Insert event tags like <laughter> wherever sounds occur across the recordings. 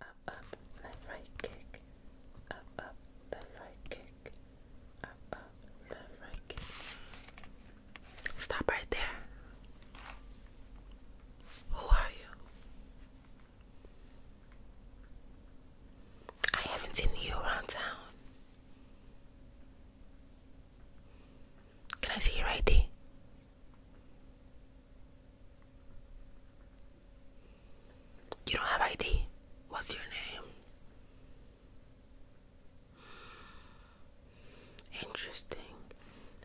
Up, up, left, right, kick. Up, up, left, right, kick. Up, up, left, right, kick. Stop right there. Who are you? I haven't seen you around town. Can I see you right ID? You don't have ID? What's your name? Interesting.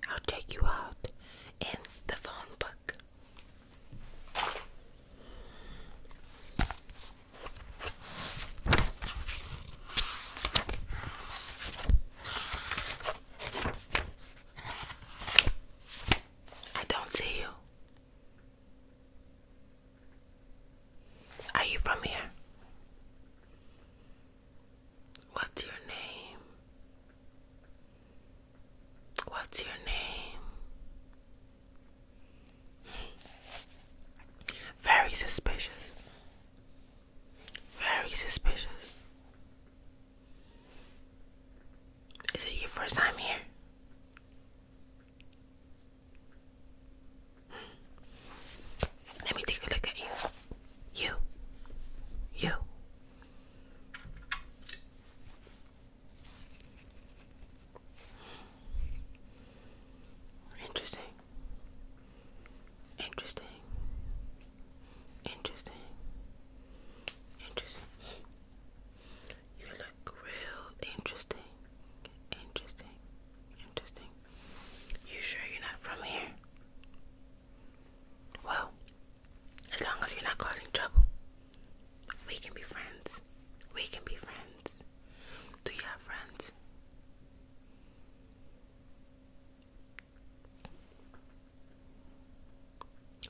I'll take you out in the phone book. I don't see you. Are you from here? What's your name? What's your name? Very suspicious. Very suspicious. Is it your first time here? Let me take a look at you. You. You. Interesting. Interesting. Interesting. Interesting. You look real interesting. Interesting. Interesting. You sure you're not from here? Well, as long as you're not causing trouble, we can be friends. We can be friends. Do you have friends?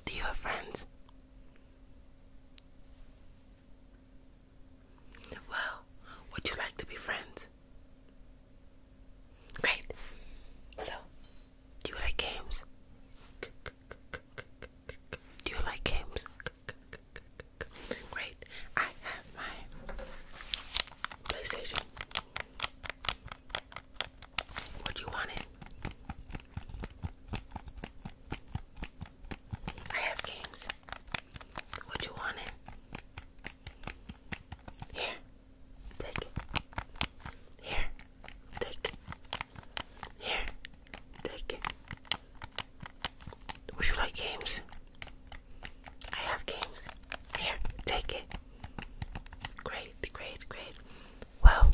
Do you have friends? Well, would you like to be friends? Great. So, do you like games? Do you like games? Great. I have my PlayStation. What you want it? I have games. What you want it? Here, take it. Here, take it. Here, take it. Would you like games? I have games. Here, take it. Great, great, great. Well,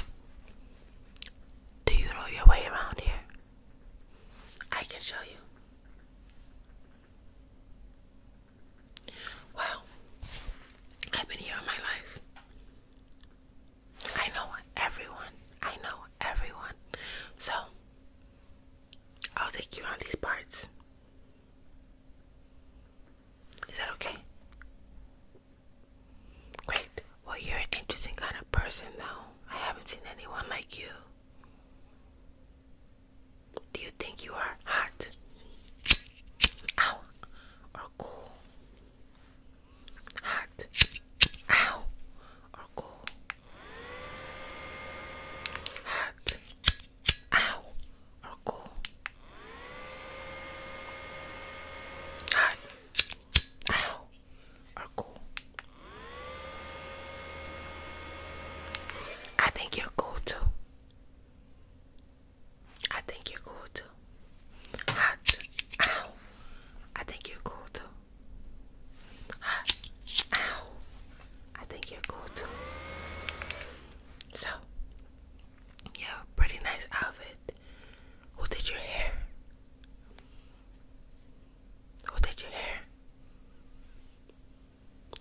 do you know your way around here? I can show you. Well, I've been here my life. I know everyone. I know everyone. So, I'll take you around these parts. Is that okay? Great. Well, you're an interesting kind of person, though. I haven't seen anyone like you. Do you think you are hot? Ow. Or cool? Hot. Ow. Or cool? Hot. Ow. Oh, cool. Hot. Ow. Oh, cool. I think you're cool too. I think you're cool too. Hot. Ah. Ow. I think you're cool too. Hot. Ah. Ow. I think you're cool too. So, yeah, pretty nice outfit. Who did your hair? Who did your hair?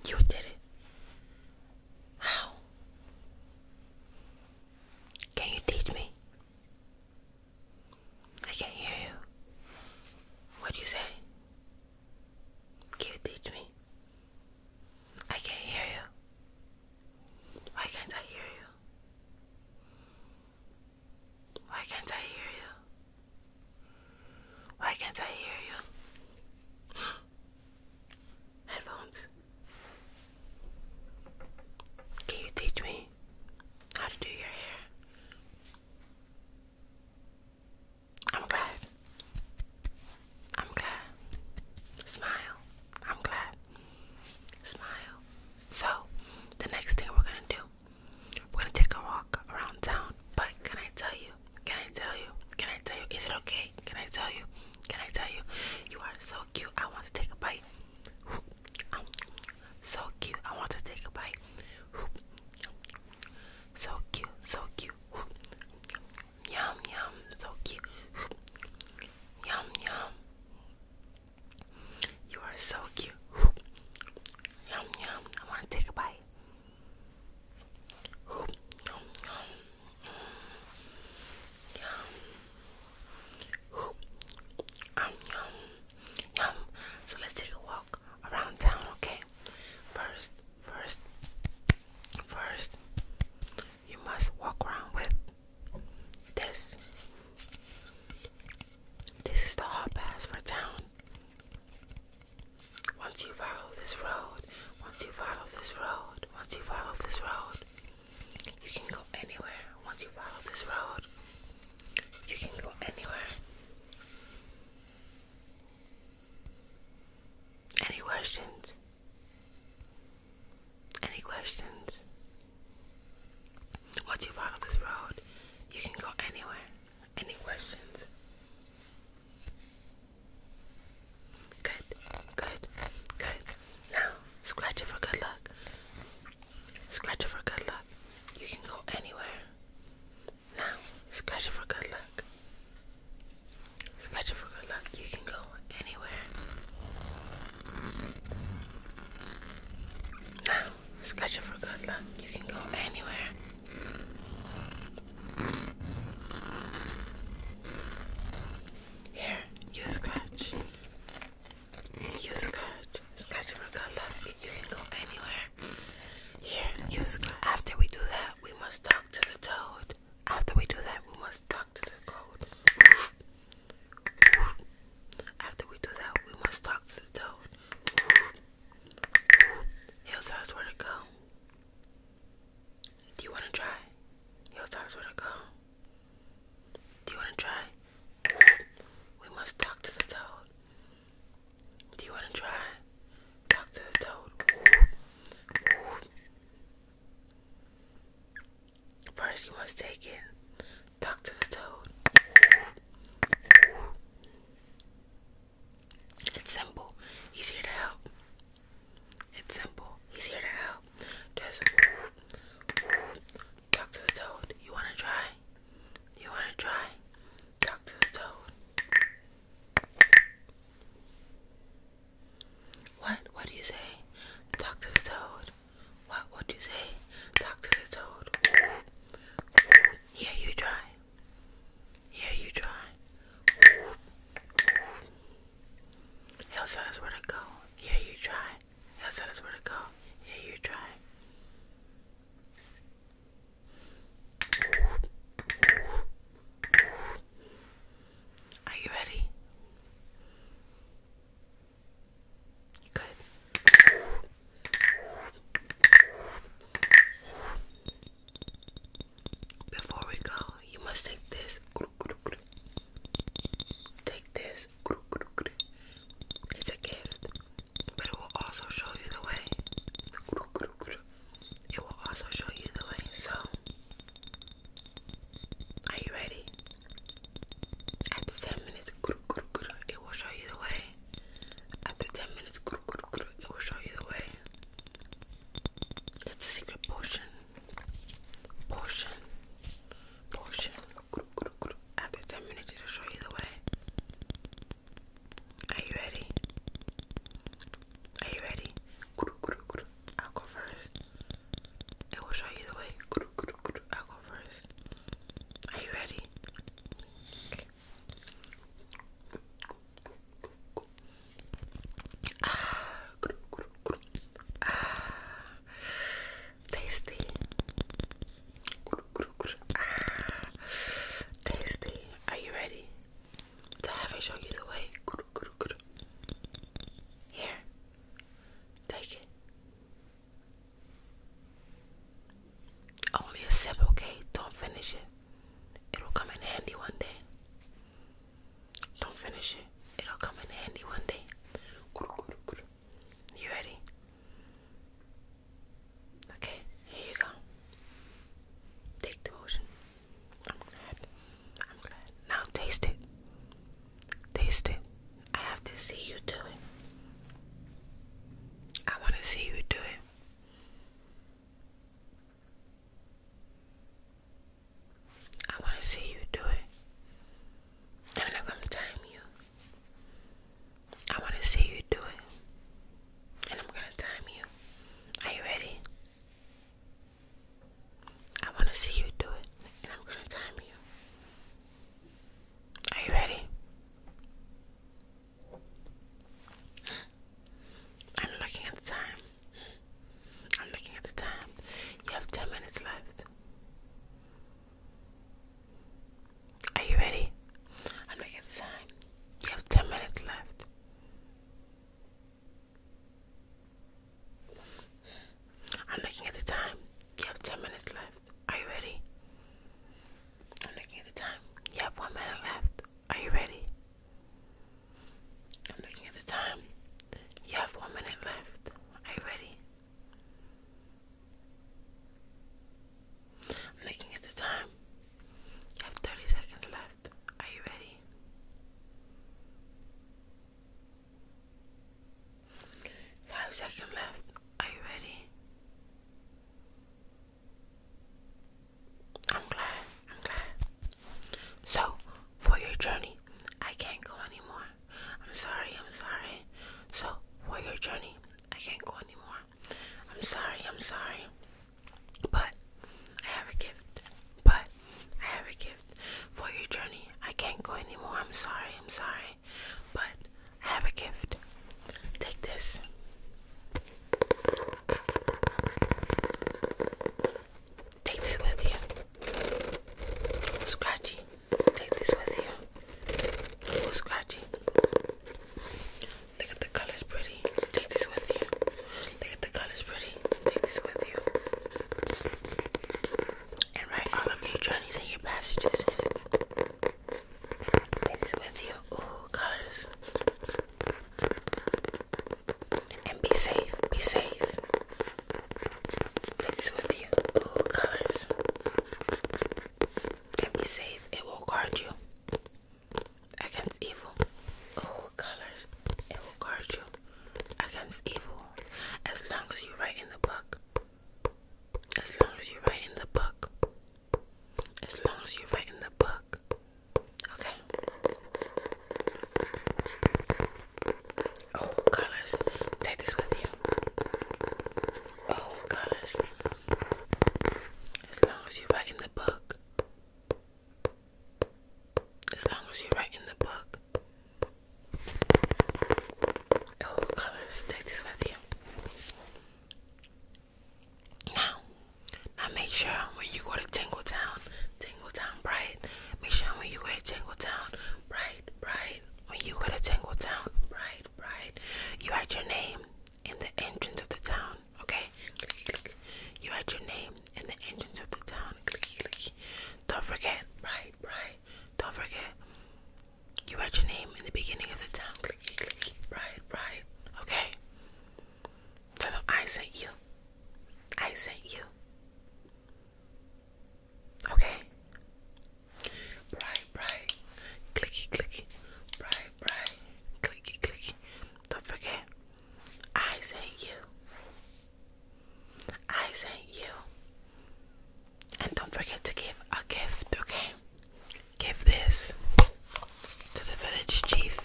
You did it. How? Can you teach me? I can't hear you. What do you say? Can you teach me? I can't hear you. Why can't I hear you? Why can't I hear you? Why can't I hear you? <gasps> Headphones. Can you teach me how to do your hair? I'm glad. I'm glad. Smile. I'm glad. Smile. So, the next thing we're gonna do, we're gonna take a walk around town. But can I tell you? Can I tell you? Can I tell you? Is it okay? Can I tell you? Can I tell you? You are so cute. I want to take a bite. Um, so cute. I want to take a bite so cute, so cute. Yum yum, so cute. Yum yum. You are so cute. Yum yum. I want to take a bite. Yum yum. yum. Yum. So let's take a walk around town, okay? First, first, first, you must walk around with this. This is the hot pass for town. Once you follow this road, once you follow this road, once you follow this road, you can go anywhere. Once you follow this road, you can go anywhere. Any questions? Any questions? Once you follow this road, you can go anywhere. Any questions? Good, good, good. Now, scratch it for good luck. Scratch it for good luck. You can go anywhere. Now, scratch it for good luck. Scratch it for good luck. You can go anywhere. Now, scratch it for good luck. You can go anywhere. Here, you scratch. You scratch. Scratch it for good luck. You can go anywhere. Here, After we do that, we must talk to the toad. After we do that, we must talk to the toad. After we do that, we must talk to the toad. He'll tell us where go. Do you want to try? He'll tell us where go. Do you want to try? We must talk to the toad. Do you want to try Talk Toad? Ooh. Ooh. First, you must take in Dr. the Toad. It's simple, he's here to help. It's simple, he's here to help. Just ooh, ooh. the Toad. You want to try? You want to try? Dr. the Toad. What? What do you say? Talk to the toad. What? What do you say? Talk to the toad. Yeah, you try. Yeah, you try. He'll tell us where to go. Yeah, you try. He'll tell us where to go. Yeah, you try. Are you ready? Good. Before we go, you must take this. Take this. It's a gift but it will also show you the way. It will also show you the way. So, are you ready? After 10 minutes, it will show you the way. After 10 minutes, it will show you the way. It's a secret portion. Portion. Portion. After 10 minutes, it'll show you the way. Are you ready? Are you ready? I'll go first. It will show you the way. I'll go first. Are you ready? Ah, ah, tasty, Ah, tasty. Are you ready to have it show you the way? Here, take it. Only a sip, okay? Don't finish it. It'll come in handy one day. Don't finish it. It'll come in handy one day. You ready? Okay, here you go. Take the motion. I'm glad. I'm glad. Now taste it. Taste it. I have to see you do it. I want to see you do it. I want to see you do it. I'm going to time you. I want to see you do it. And I'm going to time you. Are you ready? I want to see you do it. And I'm going to time you. Are you ready? I'm looking at the time. I'm looking at the time. You have 10 minutes left. Are you ready? I'm looking at the time. You have 10 minutes left. I'm looking at the time. You have 10 minutes left. Are you ready? I'm looking at the time. You have one minute left. Are you ready? I'm looking at the time. You have one minute left. Are you ready? looking at the time. You have 30 seconds left. Are you ready? Five seconds left. Are you ready? I'm glad. I'm glad. So, for your journey, I can't go anymore. I'm sorry, I'm sorry. So, for your journey, I can't go anymore. I'm sorry, I'm sorry. But I have a gift. But I have a gift for your journey. I can't go anymore. I'm sorry, I'm sorry. But I have a gift. Take this. Take this with you. Scratchy. Take this with you. Go scratchy. Look at the colors pretty. Take this with you. Look at the colors pretty. Take this with you. And write all of your journeys and your passages in it. Take this with you. Ooh, colors. And be safe. Be safe. Goodness with you. Ooh, colors. Can be safe. It will guard you against evil. Ooh, colors. It will guard you against evil. As long as you write in the book. As long as you write in the book. As long as you write in the book. Okay. Oh, colors. Take this with you. Oh, colors. As long as you write in the book. As long as you write in the book. Oh, colors. Take this with you. Now, now make sure when you go to Tingle Town, Tingle Town Bright, make sure when you go to Tingle Town, Bright, Bright, when you go to Tango Town, right, right, you write your name in the entrance of the town, okay? You write your name in the entrance of the town. Don't forget, right, right, don't forget. You write your name in the beginning of the town. Right, right, okay? So I sent you. I sent you. Okay. Bright, bright, clicky, clicky. Bright, bright, clicky, clicky. Don't forget, I sent you. I sent you. And don't forget to give a gift, okay? Give this to the village chief.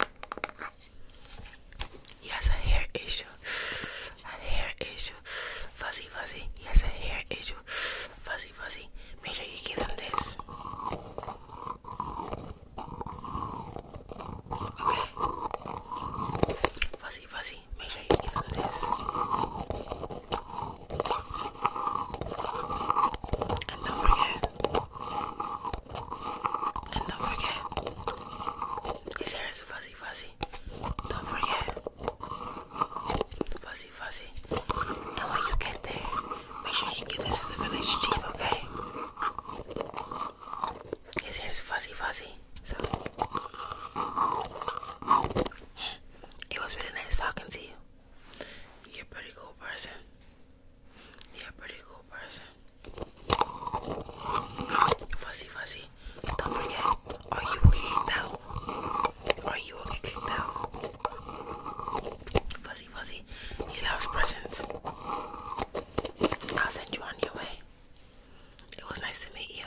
He has a hair issue. A hair issue. Fuzzy Fuzzy, he has a hair issue. Fuzzy Fuzzy, make sure you give him this. Okay. Fuzzy Fuzzy, make sure you give him this. And don't forget. And don't forget. His hair is fuzzy fuzzy, fuzzy. Don't forget. Fuzzy, fuzzy. And when you get there, make sure you give this to the village chief, okay? His hair's fuzzy, fuzzy. So. It was really nice talking to you. You're a pretty cool person. You're a pretty cool person. Fuzzy, fuzzy. Don't forget, are you okay now? Are you okay now? Fuzzy Fuzzy, You loves presents. I'll send you on your way. It was nice to meet you.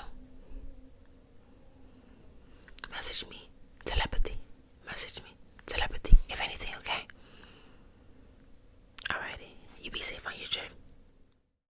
Message me, telepathy. Message me, telepathy, if anything, okay? Alrighty, you be safe on YouTube.